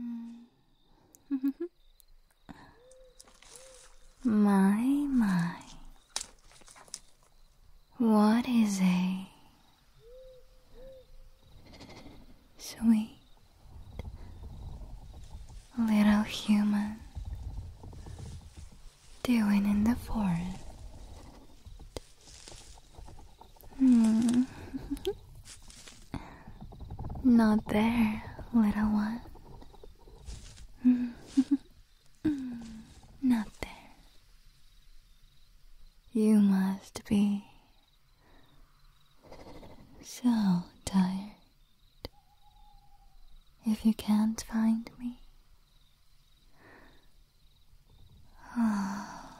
Mm. my, my. What is a sweet little human doing in the forest? Hmm. Not there, little one. Not there. You must be so tired. If you can't find me, oh,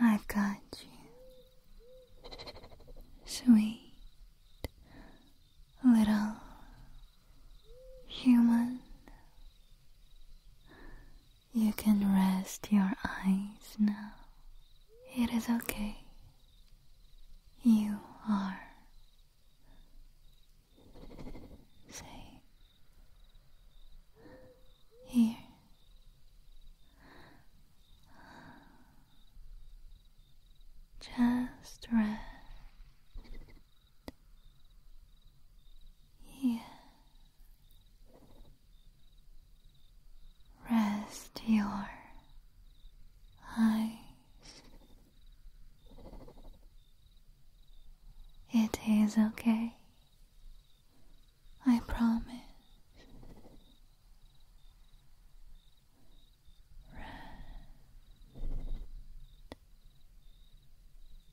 I've got you, sweet little Human, you can rest your eyes now. It is okay. You are safe here. Just rest. Here. Rest your eyes. It is okay. I promise. Rest.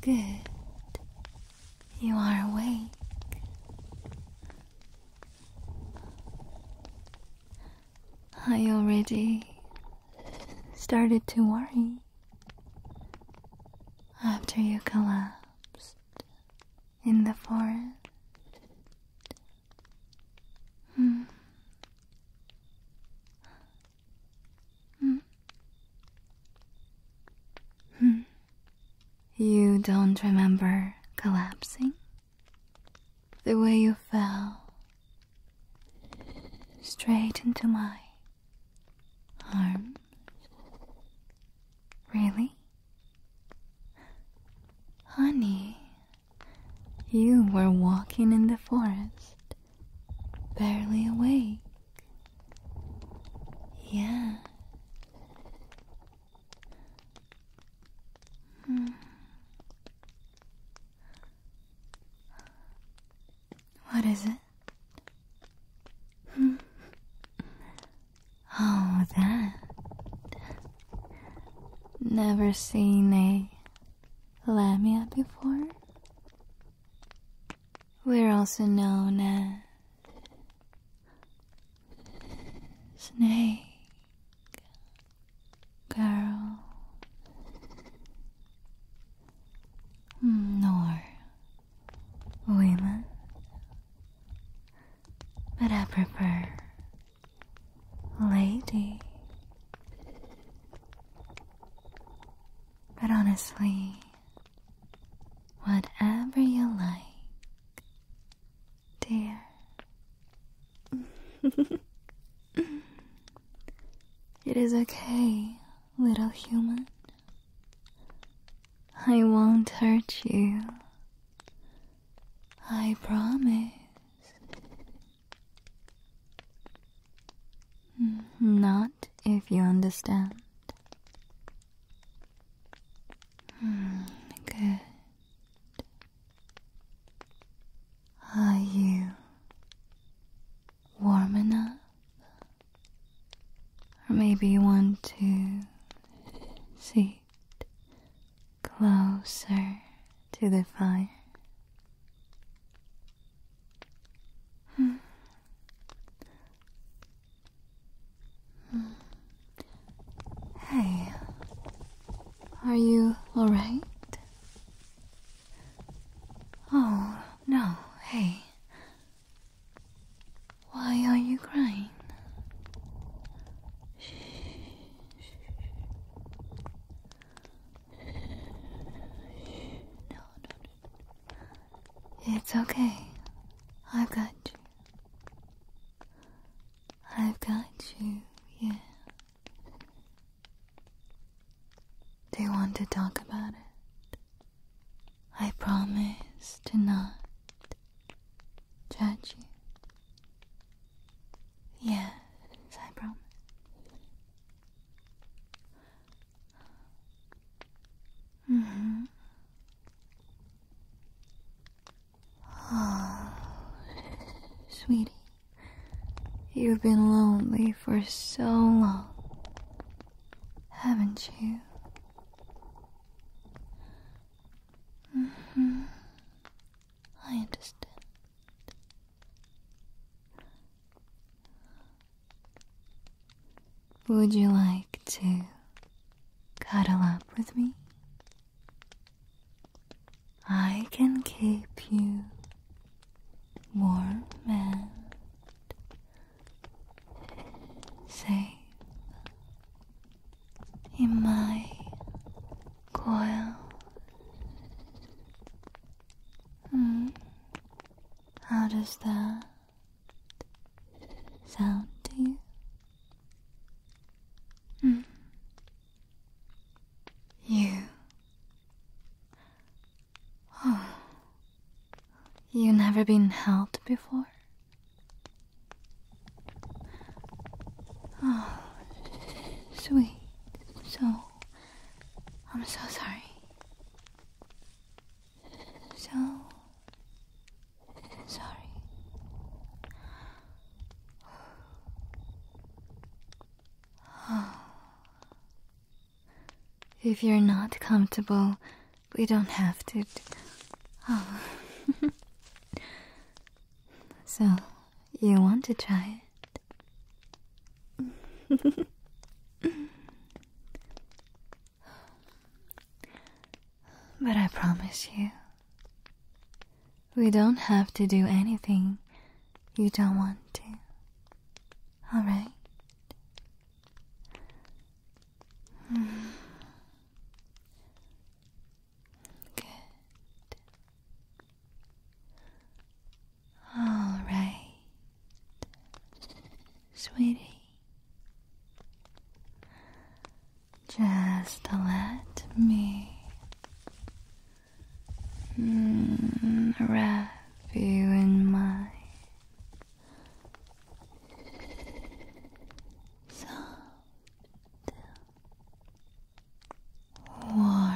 Good. You are awake. I already started to worry after you collapsed in the forest. Hmm. Hmm. hmm. You don't remember collapsing? The way you fell straight into my arms? Really? Honey, you were walking in the forest barely awake. Yeah. Hmm. What is it? Hmm. oh, that. Never seen a lamia before? We're also known as Snake Girl nor women, but I prefer lady. But honestly, Whatever you like, dear. it is okay, little human. I won't hurt you. I promise. Not if you understand. Mm, good. Are you warm enough? Or maybe you want to sit closer to the fire? Hmm. Mm. Hey, are you alright? Oh, no, hey. Why are you crying? No, no, no. It's okay. I've got you. I've got you, yeah. Do you want to talk about it? I promise to not judge you. Yeah, I promise hmm Oh, sweetie, you've been lonely for so long, haven't you? hmm I understand. Would you like to cuddle up with me? I can keep you warm and safe in my coil. Mm. How does that sound to you? Mm. You. Oh. You never been held before? Oh, sweet. So, I'm so sorry so sorry. If you're not comfortable, we don't have to. Oh. so, you want to try it? But I promise you, we don't have to do anything you don't want to. Alright? Mm. Good. All right sweetie. Just let me mm, wrap you in my soft, warm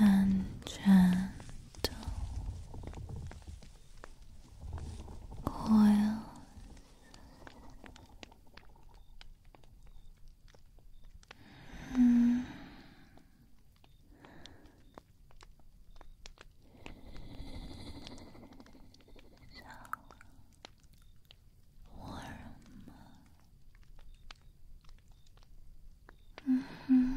and gentle coils so warm. Mm-hmm.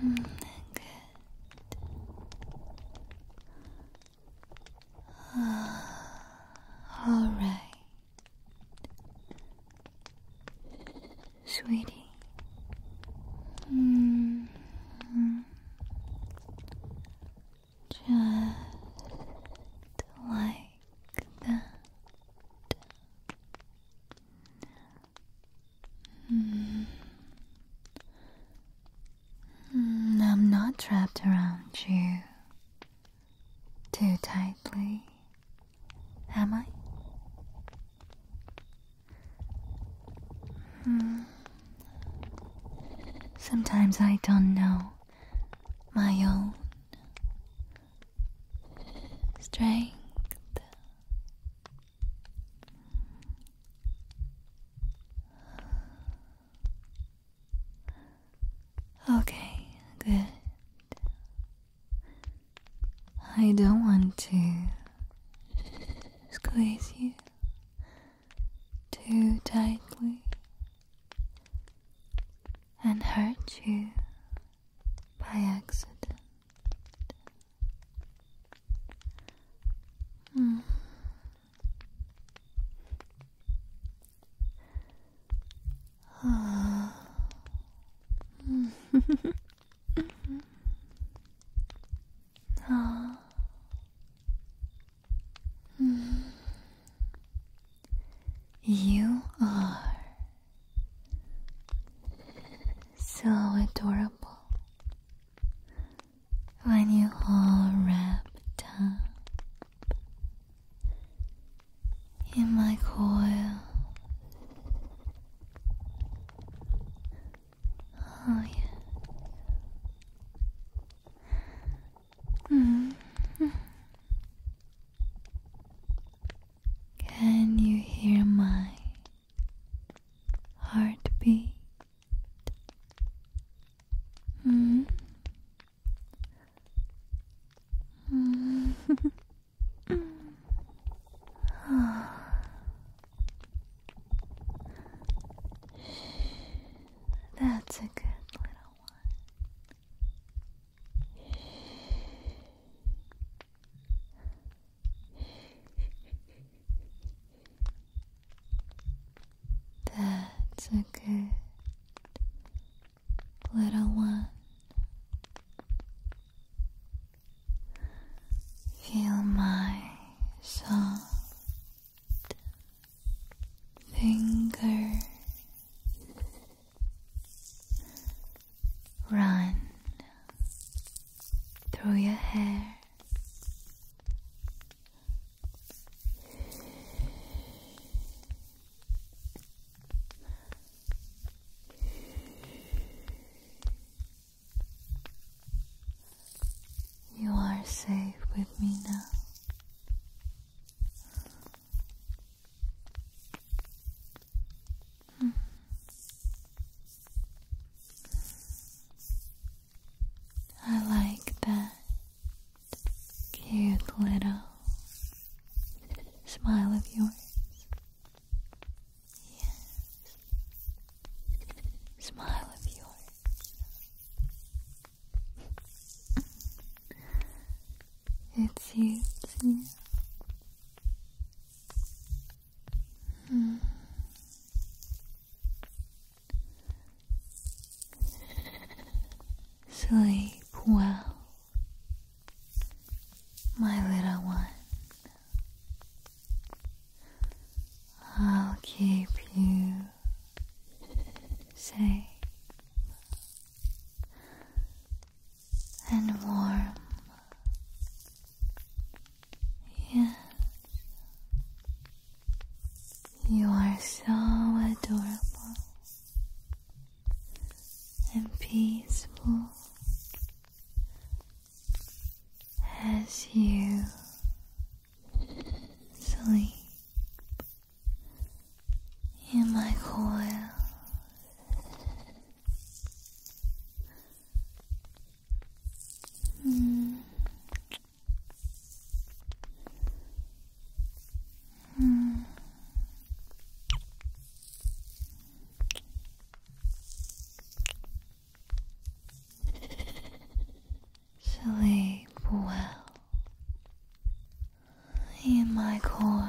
good. all right. Sweetie. -hmm. Just like that. Hmm. Hmm. I'm not wrapped around you too tightly, am I? Hmm. Sometimes I don't know my own strength. Okay, good. I don't want to squeeze you too tightly and hurt you by accident. Hmm. oh. Mm. You are so adorable when you all wrapped up in my coil. Oh, yeah. -hmm. Can you hear my heartbeat? Mm. Mm. That's a good little one. That's a good little one. Feel my soft fingers run through your hair. You are safe with me now. I like that cute little smile of yours. Yes. Smile of yours. it suits you. Mm. Sleep well, my little one. I'll keep you safe and warm. Yes, you are so adorable and peaceful as you sleep in my coil. Mm. Mm. Sleep well in my coil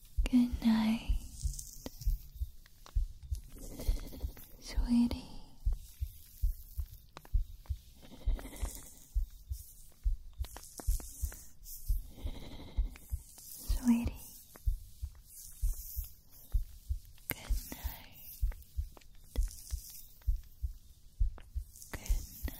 Good night, sweetie. Sweetie, good night. Good night.